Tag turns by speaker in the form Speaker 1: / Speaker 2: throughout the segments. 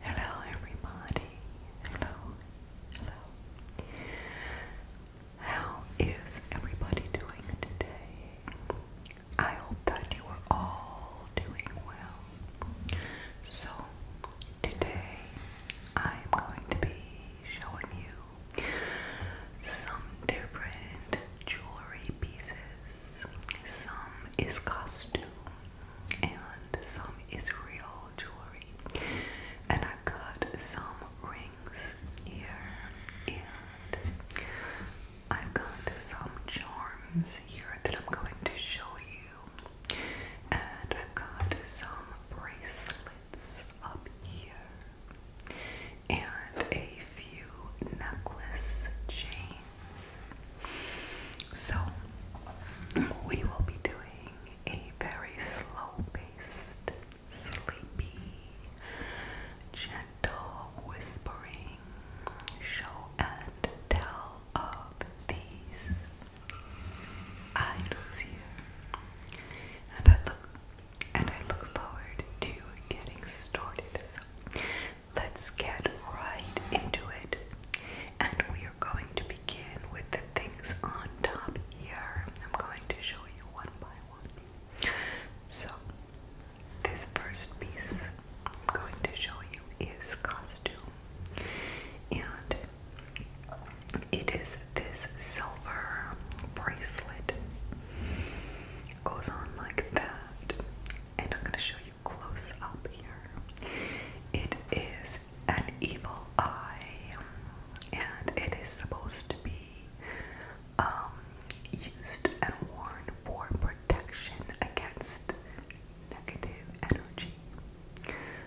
Speaker 1: Hello, everybody. Hello, hello. How is everybody doing today? I hope that you are all doing well. So, today I am going to be showing you some different jewelry pieces. Some is costume, and some Israel jewelry. And I got some rings here, and I got some charms here that I'm going to show you. And I've got some bracelets up here, and a few necklace chains. So, we will be doing a very slow paced, sleepy, gentle whispering show and tell of these items here. And I look and I look forward to getting started. Let's get right into it. And we are going to begin with the things on top here. I'm going to show you one by one. So, this first piece I'm going to show you is costume. And it is this silver bracelet. goes on like that. And I'm going to show close up here. It is an evil eye, and it is supposed to be um, used and worn for protection against negative energy.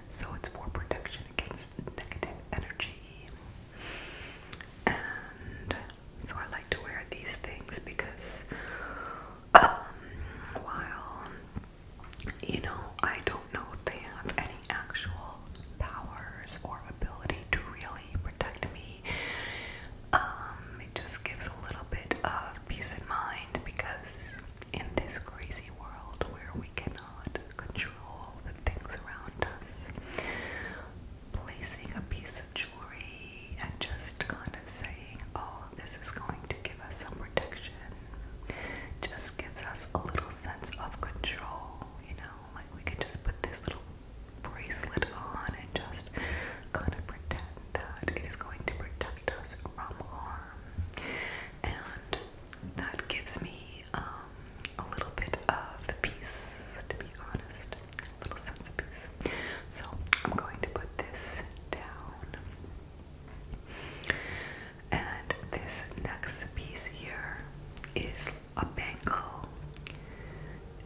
Speaker 1: So it's for protection against negative energy. And so I like to wear these things because um, while you know I don't know if they have any actual powers or ability to really protect me, um, it just gives a little bit of peace of mind because in this crazy world where we cannot control the things around us, placing a piece of jewelry and just kind of saying, "Oh, this is going to give us some protection. Just gives us a little sense of control, you know, like we can just put this little bracelet on and just kind of pretend that it is going to protect us from harm. And that gives me um, a little bit of the peace, to be honest, a little sense of peace. So I'm going to put this down. And this next piece here is a bangle,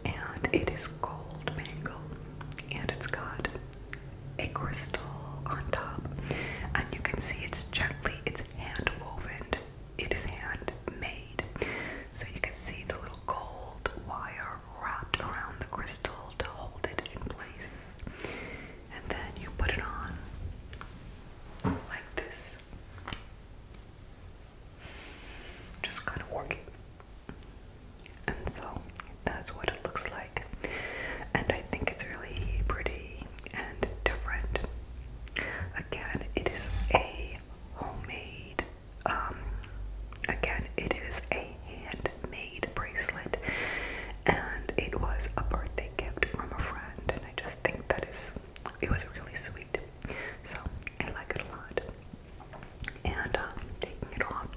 Speaker 1: and it is gold bangle, and it's got a crystal on top, and you can see it's gently, it's hand woven, it is hand made, so you can see the little gold wire wrapped around the crystal to hold it in place. And then you put it on like this. Just kind of work And so that's what it looks like. And I think it's really pretty and different. Again, it is a homemade, um, again, it is a handmade bracelet, and it was a birthday gift from a friend, and I just think that is it was really sweet. So I like it a lot. And um, taking it off,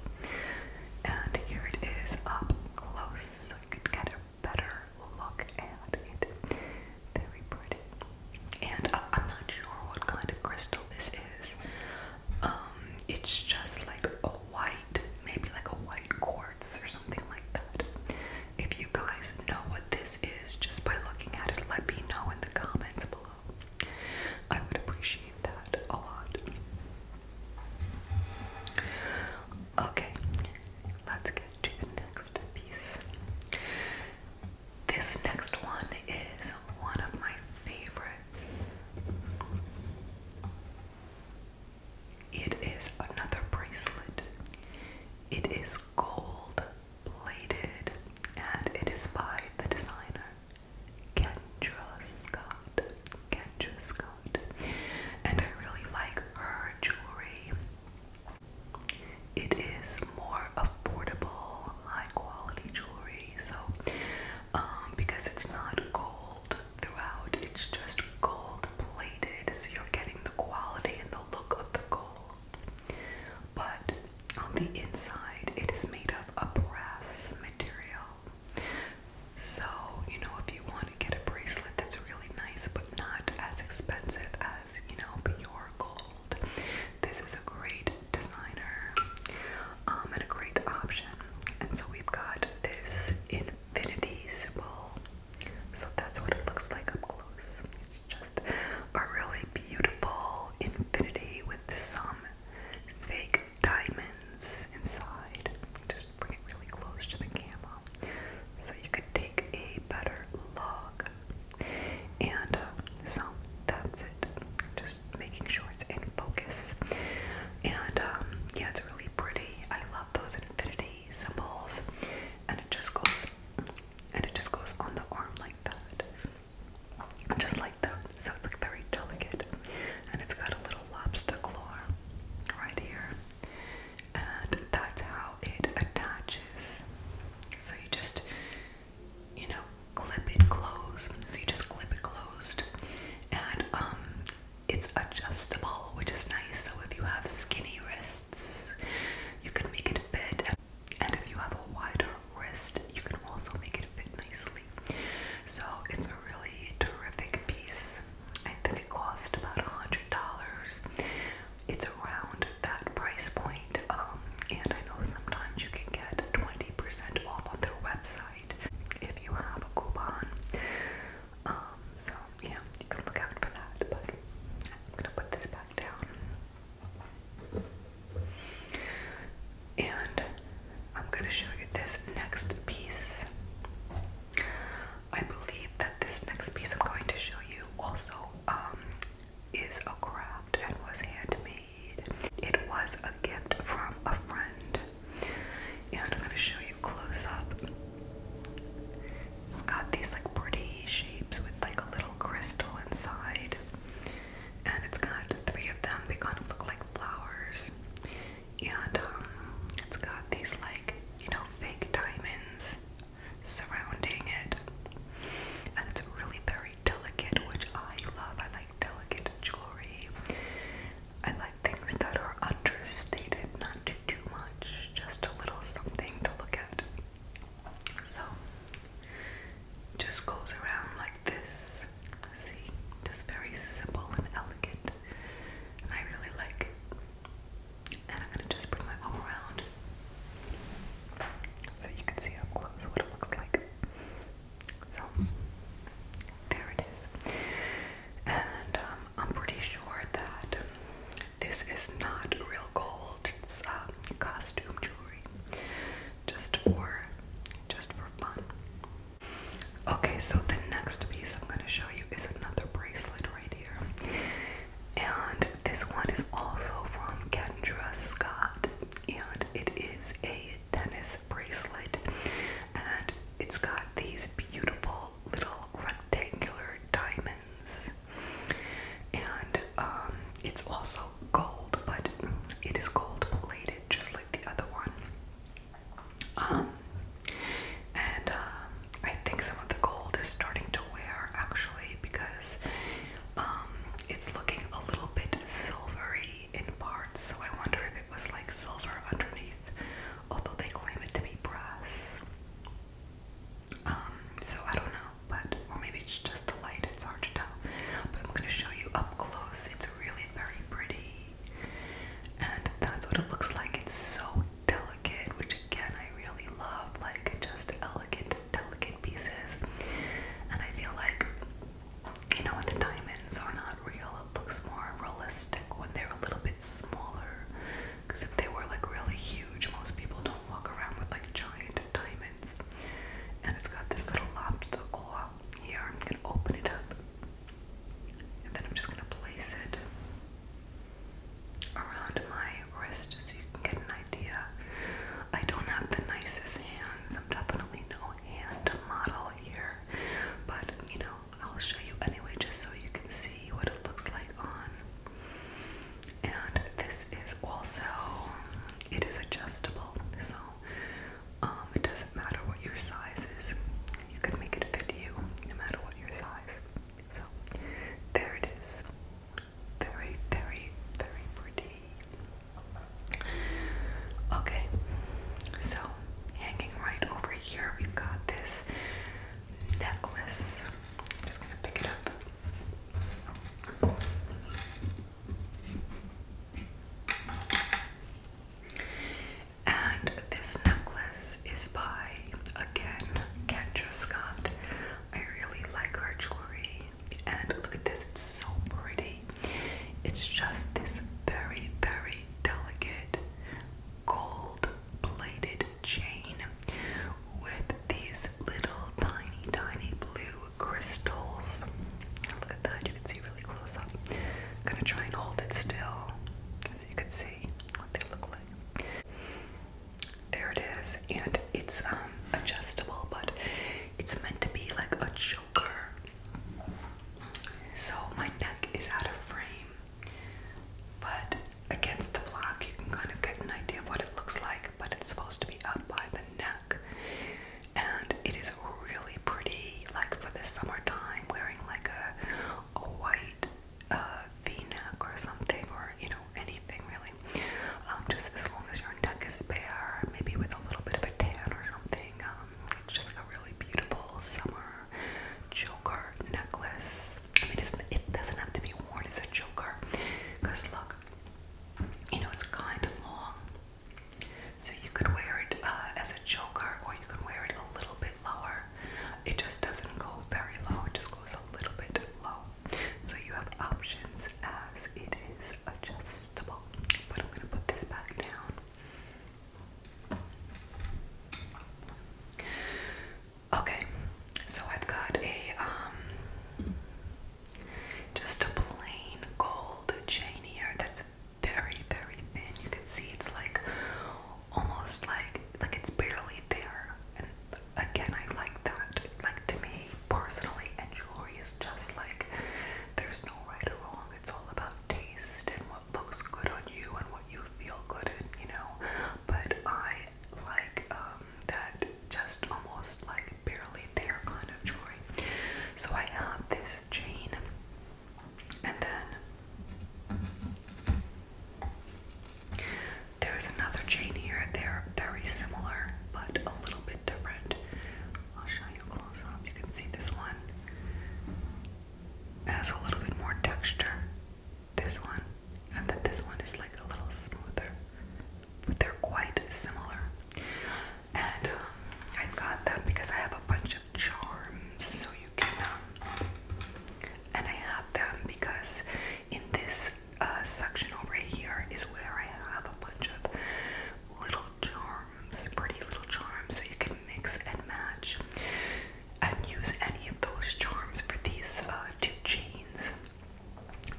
Speaker 1: and here it is up close, so you get a better look at it. Very pretty. And uh, I'm not sure what kind of crystal this is. Um, it's just like a white, maybe like a white quartz or something like that. If you guys know what this is just by looking at it, let me know in the comments below. I would appreciate that a lot. Okay, let's get to the next piece. This next one is one of my favorite it is another bracelet. It is gold plated and it is by the designer Kendra Scott. And I really like her jewelry. It is more affordable, high quality jewelry. So, um, because it's not gold, throughout. It's just gold plated, so you're getting the quality and the look of the gold. But on the inside, it is made of a brass material. So, you know, if you want to get a bracelet that's really nice but not as expensive as, you know, pure gold, this is a great designer um, and a great option. And so we've got this infinity symbol. So that's what it looks like up close. It's just a really beautiful infinity with some fake diamonds inside. Just bring it really close to the camera so you could take a better look. And uh, so that's it. Just making sure it's in focus. And um, yeah, it's really pretty. I love those infinity symbols, and it just goes and it just goes on the arm like that, just like that. So it's like very delicate, and it's got a little lobster claw right here, and that's how it attaches. So you just, you know, clip it closed. So you just clip it closed, and um, it's adjustable which is nice so if you have skinny wrists you can make it fit and if you have a wider wrist you can also make it fit nicely so it's a really terrific piece I think it cost about a hundred dollars it's around that price point um, and I know sometimes you can get 20% off on their website if you have a coupon. Um, so yeah, you can look out for that. But I'm gonna put this back down, and I'm gonna show you this next piece. I believe that this next piece I'm going to show you also um, is a craft and was handmade. It was a gift from a friend and I'm gonna show you close up. It's got these like pretty shapes with like a little crystal inside, and it's got three of them. They kind of look like flowers, and um, it's got these like you know fake diamonds surrounding it, and it's really very delicate, which I love. I like delicate jewelry. I like things that are understated, not too, too much, just a little something to look at. So, just goes around like this. See, just very simple and elegant, and I really like it. And I'm gonna just bring my arm around so you can see up close what it looks like. So there it is. And um, I'm pretty sure that this is not real gold. It's um, costume jewelry, just for just for fun. Okay, so the next piece I'm going to show you is another bracelet right here. And this one is also from Kendra Scott, and it is a tennis bracelet, and it's got these beautiful little rectangular diamonds. And um, it's also gold, but it is gold plated, just like the other one. Um, and um, I think some of the gold is starting to wear actually because um, it's looking a little bit silvery in parts, so I wonder if it was like silver underneath, although they claim it to be brass. Um, so I don't know, but or maybe it's just the light, it's hard to tell. But I'm gonna show you up close. It's really very pretty. And that's what it looks like. It's so delicate, which again I really love, like just elegant, delicate pieces. And I feel like you know, the diamonds are not real. It looks more realistic when they're a little bit smaller. Because if they were like really huge, most people don't walk around with like giant diamonds. And it's got this little lobster claw here. I'm gonna open it up. And then I'm just gonna place it around my wrist so you can get an idea. I don't have the nicest hands. I'm definitely no hand model here, but you know, I'll show you anyway just so you can see what it looks like on. And this is also, it is adjustable, so um, it doesn't matter what your size is. You can make it fit you no matter what your size. So there it is. Very, very, very pretty. Okay, so hanging right over here, we've got this necklace. I'm just gonna pick it up. And this necklace is by, again, Kendra Scott. I really like her jewelry. And look at this, it's so pretty. It's just this very, very delicate gold plated chain with these little tiny, tiny blue crystals. Look at that, you can see really close up. I'm gonna try and hold it still so you can see what they look like. There it is, and it's um, adjustable, but it's meant to be like a choker so my neck is out of frame, but against the block you can kind of get an idea of what it looks like, but it's supposed to be up by the neck. And it is really pretty, like for the summertime, wearing like a, a white uh, v-neck or something, or you know, anything really. Um, just as long as your neck is bare, maybe with a little bit of a tan or something. it's um, just really beautiful summer choker necklace. I mean, it doesn't have to be worn as a choker, because look, you know, it's kind of long. So you could wear it uh, as a choker, or you can wear it a little bit lower. It just doesn't go very low, it just goes a little bit low. So you have options as it is adjustable. But I'm going to put this back down. Okay, so I've got a um just a plain gold chain here that's very, very thin. You can see it's like almost like like it's barely there. And again I like that. Like to me personally and jewelry is just like there's no right or wrong it's all about taste and what looks good on you and what you feel good in, you know. But I like um, that just almost like barely there kind of jewelry. So I have this chain and then there's another chain here. They're very similar but a little bit different. I'll show you close up. You can see this one has a little bit more texture. This one, and then this one is like a little smoother, but they're quite similar. And um, I've got that because I have a bunch of charms, so you can. Um, and I have them because in this uh, section over here is where I have a bunch of little charms pretty little charms, so you can mix and match and use any of those charms for these uh, two chains.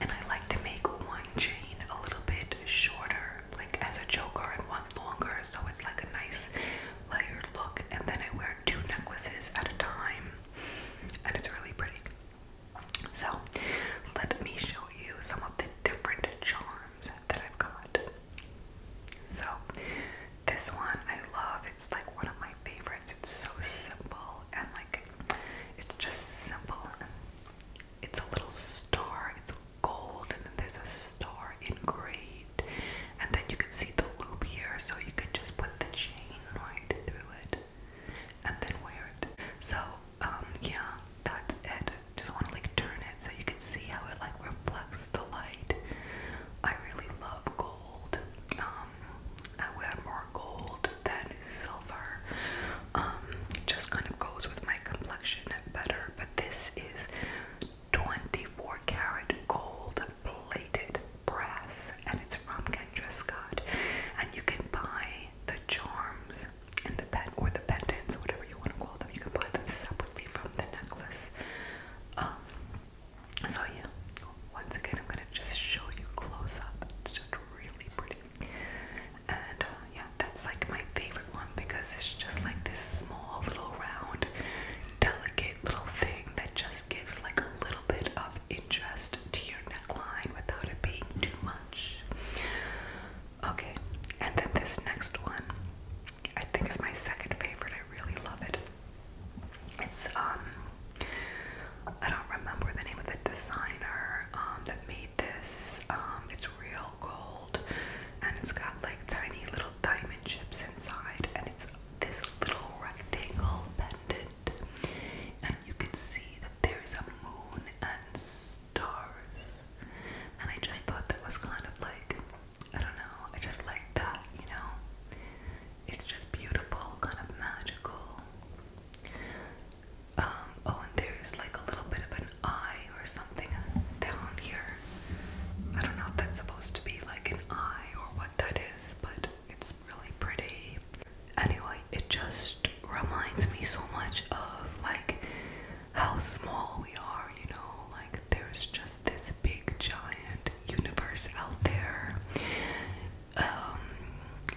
Speaker 1: And I like to make one chain a little bit shorter, like as a choker, and one longer, so it's like a nice layered look. And then I wear two necklaces at a time, and it's really pretty. So, let me show you some of the different charms that I've got. So this one I love. It's like one of my favorites. It's so simple and like it's just simple. It's a little star. It's gold and then there's a star engraved. And then you can see the loop here so you can just put the chain right through it and then wear it. So um yeah, that's it. Just want to like turn it so you can see how it like reflects the light. I really love gold. Um, I wear more gold than silver. Um, just kind of goes with my complexion better. But this is 24 karat gold plated brass, and it's from Kendra Scott. And you can buy the charms and the pen or the pendants, whatever you want to call them. You can buy them separately from the necklace. Um, so yeah, once again, I'm gonna just show you close up. It's just really pretty, and uh, yeah, that's like my favorite one because it's just like this small little round, delicate little thing that just gives like a little bit of interest to your neckline without it being too much. Okay, and then this next one I think it's my second favorite. I really love it. It's um I don't remember the name of the designer um that made this. Um it's real gold and it's got like tiny little diamond chips inside and it's this little rectangle pendant and you can see that there's a moon and stars and I just thought that was kind of like, I don't know, I just like that, you know? It's just beautiful, kind of magical. Um, oh, and there's like a little bit of an eye or something down here. I don't know if that's supposed to be like an eye or what that is, but it's really pretty. Anyway, it just reminds me so much of like how small we are, you know, like there's just this big giant universe out there. Um,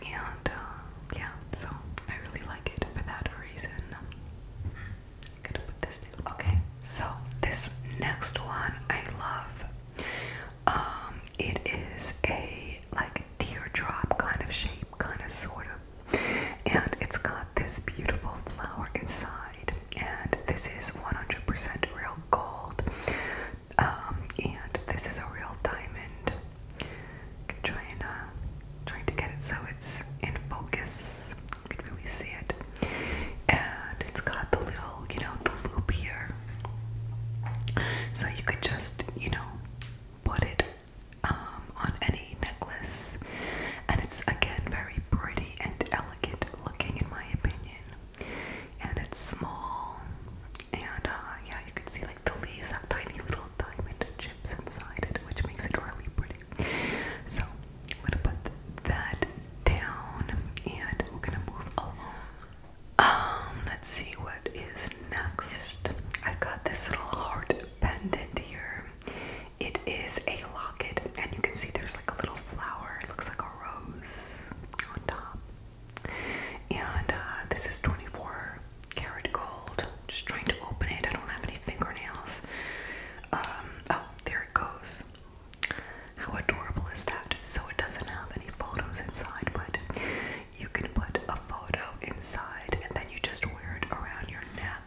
Speaker 1: and uh, yeah, so I really like it for that reason. gonna put this down. Okay, so this next one I love. Um, it is a like teardrop kind of shape, kind of sort of and it's got this beautiful flower inside and this is 100% real gold um, and this is a real diamond trying, uh, trying to get it so it's in focus you can really see it and it's got the little you know the loop here so you could just you know put it um, on any necklace, and it's again very pretty and elegant looking, in my opinion. And it's small, and uh, yeah, you can see like the leaves have tiny little diamond chips inside it, which makes it really pretty. So I'm gonna put that down, and we're gonna move along. Um, let's see what is next. I got this little heart pendant here, it is a locket, and you can see there's like a little flower. It looks like a rose on top. And uh, this is 24 karat gold. Just trying to open it. I don't have any fingernails. Um, oh, there it goes. How adorable is that? So it doesn't have any photos inside, but you can put a photo inside and then you just wear it around your neck.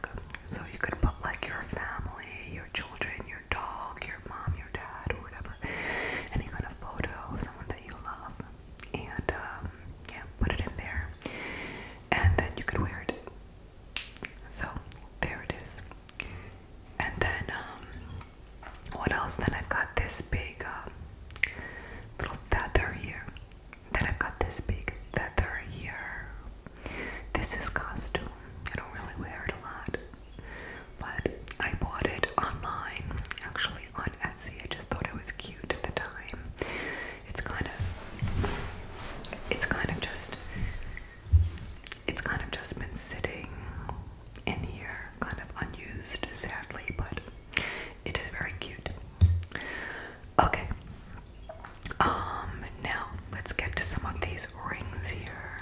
Speaker 1: So you could put like your family, your children, your dog, your mom, your dad, or whatever. Any kind of photo of someone that you love. And um, yeah, put it in there. And then you could wear it. So there it is. And then, um, what else? Then I've got this big um, little feather here. Then I've got this big feather here. This is costume. I don't really wear it a lot. But I bought it online, actually on Etsy. I just thought it was cute at the time. It's kind of it's kind of just it's kind of just been sitting in here, kind of unused sadly, but it is very cute. Okay. Um, now let's get to some of these rings here.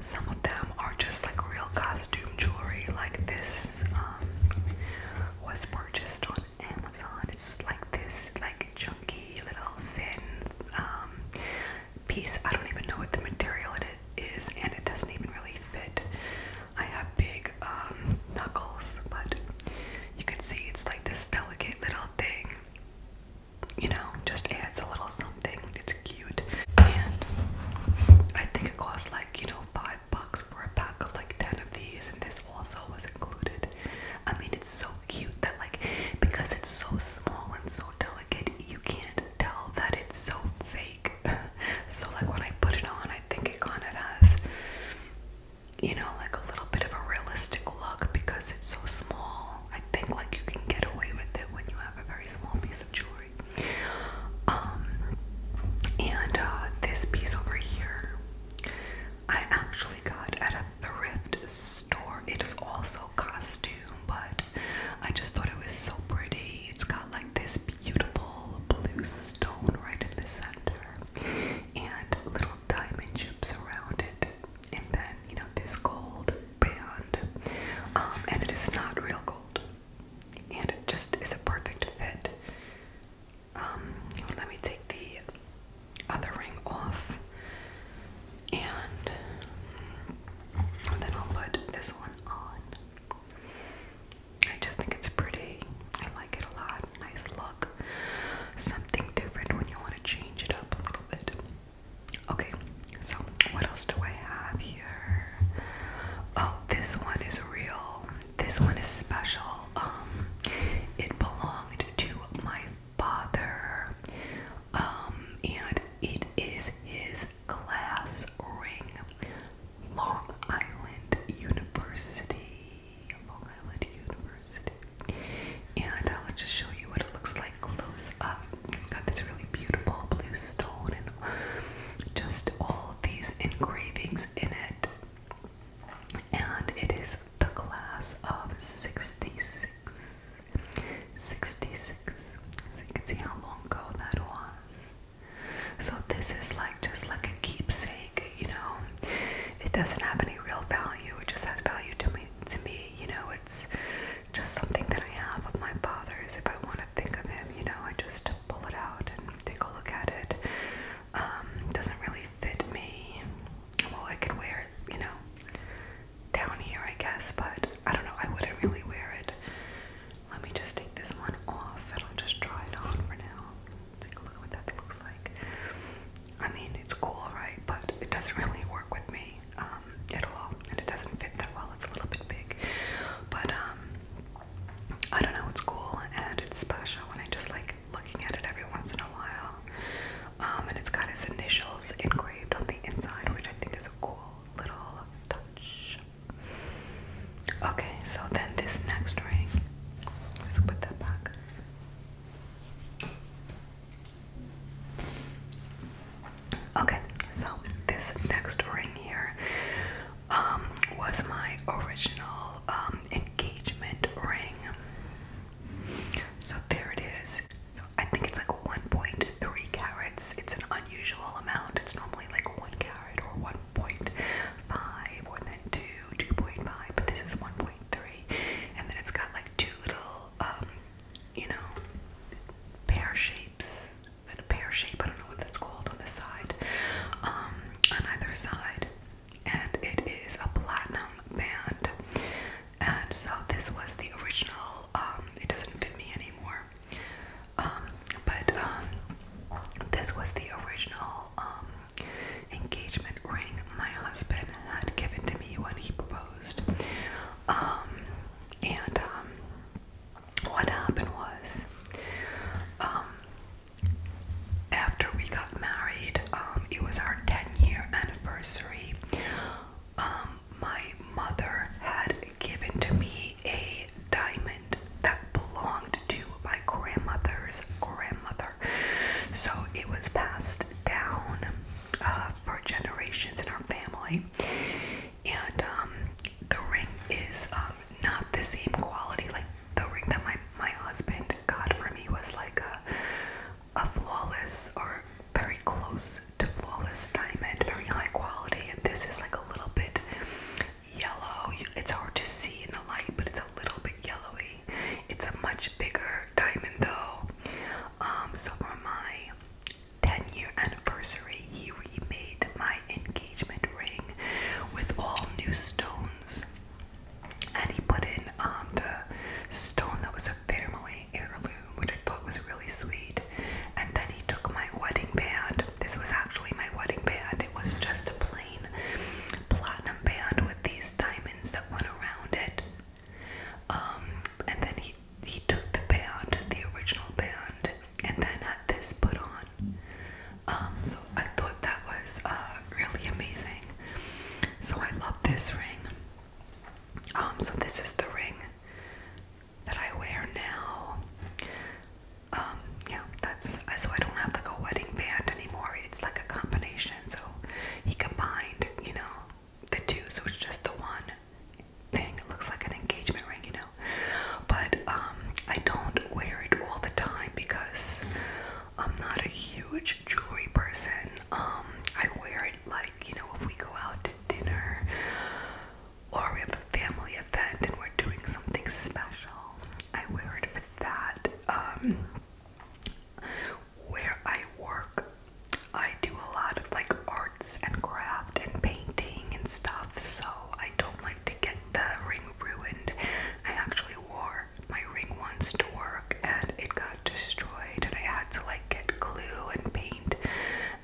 Speaker 1: Some of them are just like real costume jewelry, like this um, was purchased on Amazon. It's like this, like chunky, little thin um, piece. I don't even know what the material it is, and it doesn't even really fit. I have big um, knuckles, but you can see it's like this delicate little thing you know, just adds a little something. It's cute. And I think it costs like, you know, five bucks for a pack of like 10 of these. And this also was included. I mean, it's so cute that, like, because it's so small and so delicate, you can't tell that it's so fake. so, like, when I put it on, I think it kind of has you know, like a little bit of a realistic look because it's so small. I think like you can get away with it when you have a very small piece of jewelry. Um, and uh, this piece over here, I actually got at a thrift store. It is also costume, but I just thought it was so pretty. It's got like this beautiful blue stone right in the center and little diamond chips around it and then you know this gold band, um, and it is not real gold, and it just is a perfect fit. Um, let me take the other ring off, and then I'll put this one on. I just think it's pretty. I like it a lot nice look. Something different when you want to change it up a little bit. Okay, so what else do I have here? Oh, this one is real. This one is special. Um, it belonged to my father. Um, and it is his class ring. Long Island University Long Island University. And I'll just show you what it looks like close up. It's got this really beautiful blue stone and just all these engravings in it. And it is the class of 66. 66. So you can see how long ago that was. So this is like just like a keepsake you know it doesn't have any real value it just has value to me to me you know it's just something that I have of my father's if I want to think of him you know I just pull it out and take a look at it um doesn't really fit me well I could wear it you know down here I guess but I don't know I wouldn't really wear it let me just take this one off and I'll just try it on for now Take a look at what that looks like. I mean, it's cool, right? But it doesn't really work with me um, at all, and it doesn't fit that well. It's a little bit big, but um, I don't know. It's cool and it's special, and I just like looking at it every once in a while. Um, and it's got his initials engraved on the inside, which I think is a cool little touch. Okay, so then this next ring, let's put that back. Okay, so this next ring here um, was my original um, engagement ring. So there it is. So I think it's like 1.3 carats. It's an unusual amount. It's normally like 1 carat or 1.5 or then 2, 2.5, but this is 1.3 and then it's got like two little, um, you know, pear shapes. And a pear shape, I don't know what that's called on the side, um, on either side, and it is a platinum band. And so this was the original. Um, it doesn't fit me anymore, but this was the original engagement ring my husband had given to me when he proposed. Um, and um, what happened was, um, after we got married, it was our 10 year anniversary. my mother had given to me a diamond that belonged to my grandmother's grandmother. So it was passed down uh, for generations in our family, and um, the ring is um, not the same quality. Like the ring that my my husband got for me was like a flawless or very close to flawless diamond, very high quality, and this is like a little bit yellow. It's hard to see in the light, but it's a little bit yellowy. It's a much bigger diamond though. Um, so on my 10 year anniversary, he remade my engagement ring with all new stones. And he put in um, the stone that was a family heirloom, which I thought was really sweet. And then he took my wedding band. This was actually my wedding band. It was just a plain platinum band with these diamonds that went around it. Um, and then he he took the band, the original band, and then had this put on. Um, so I thought that was uh, really amazing. So I love this ring. Um, so this is the ring that I wear now. yeah, that's so I don't have like a wedding band anymore it's like a combination. So he combined, you know, the two, so it's just the one thing. It looks like an engagement ring, you know. But um, I don't wear it all the time because I'm not a huge jewelry person. Um, I wear it like, you know, if we go out to dinner or we have a family event and we're doing something special, I wear it for that. Um, where I work, I do a lot of like arts and craft and painting and stuff, so I don't like to get the ring ruined. I actually wore my ring once to work and it got destroyed, and I had to like get glue and paint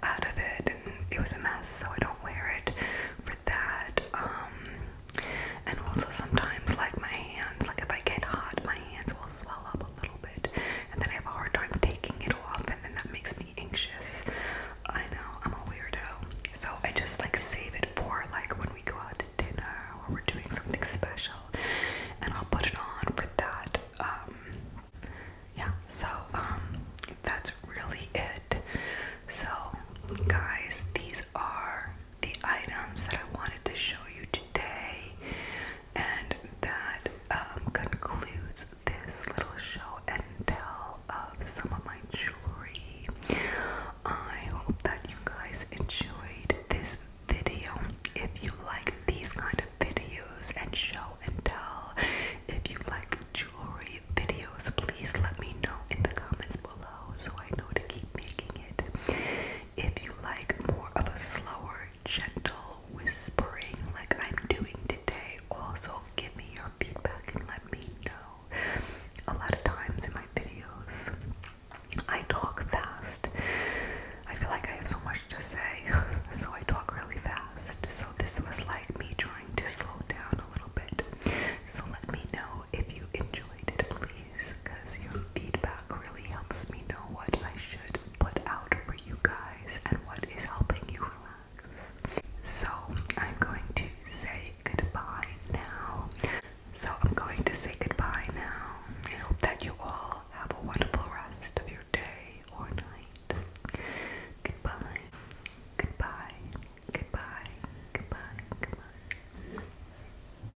Speaker 1: out of it, and it was a mess, so I don't wear it for that. Um, and also sometimes like my hands, like if I get hot, my my hands will swell up a little bit, and then I have a hard time taking it off, and then that makes me anxious. I know I'm a weirdo, so I just like save it for like when we go out to dinner or we're doing something special, and I'll put it on for that. Um, yeah, so um, that's really it. So, guys, these are the items that I wanted to show you today. And that um, concludes this little show and tell of some of my jewelry. I hope that you guys enjoyed this video. If you like these kind of videos and show and tell, if you like jewelry videos, please let me know in the comments below so I know to keep making it. If you like more of a slower, gentle whispering like I'm doing today, also give me your feedback and let me know. A lot of times in my videos, I talk fast. I feel like I have so much to say, so I talk really fast. So this was like me trying to slow down a little bit. So let me know if you enjoyed it, please because your feedback really helps me know what I should put out for you guys and what is helping you relax. So, I'm going to say goodbye now. So, I'm going to say goodbye now. I hope that you all have a wonderful rest of your day or night. Goodbye. Goodbye. Goodbye. Goodbye. Goodbye.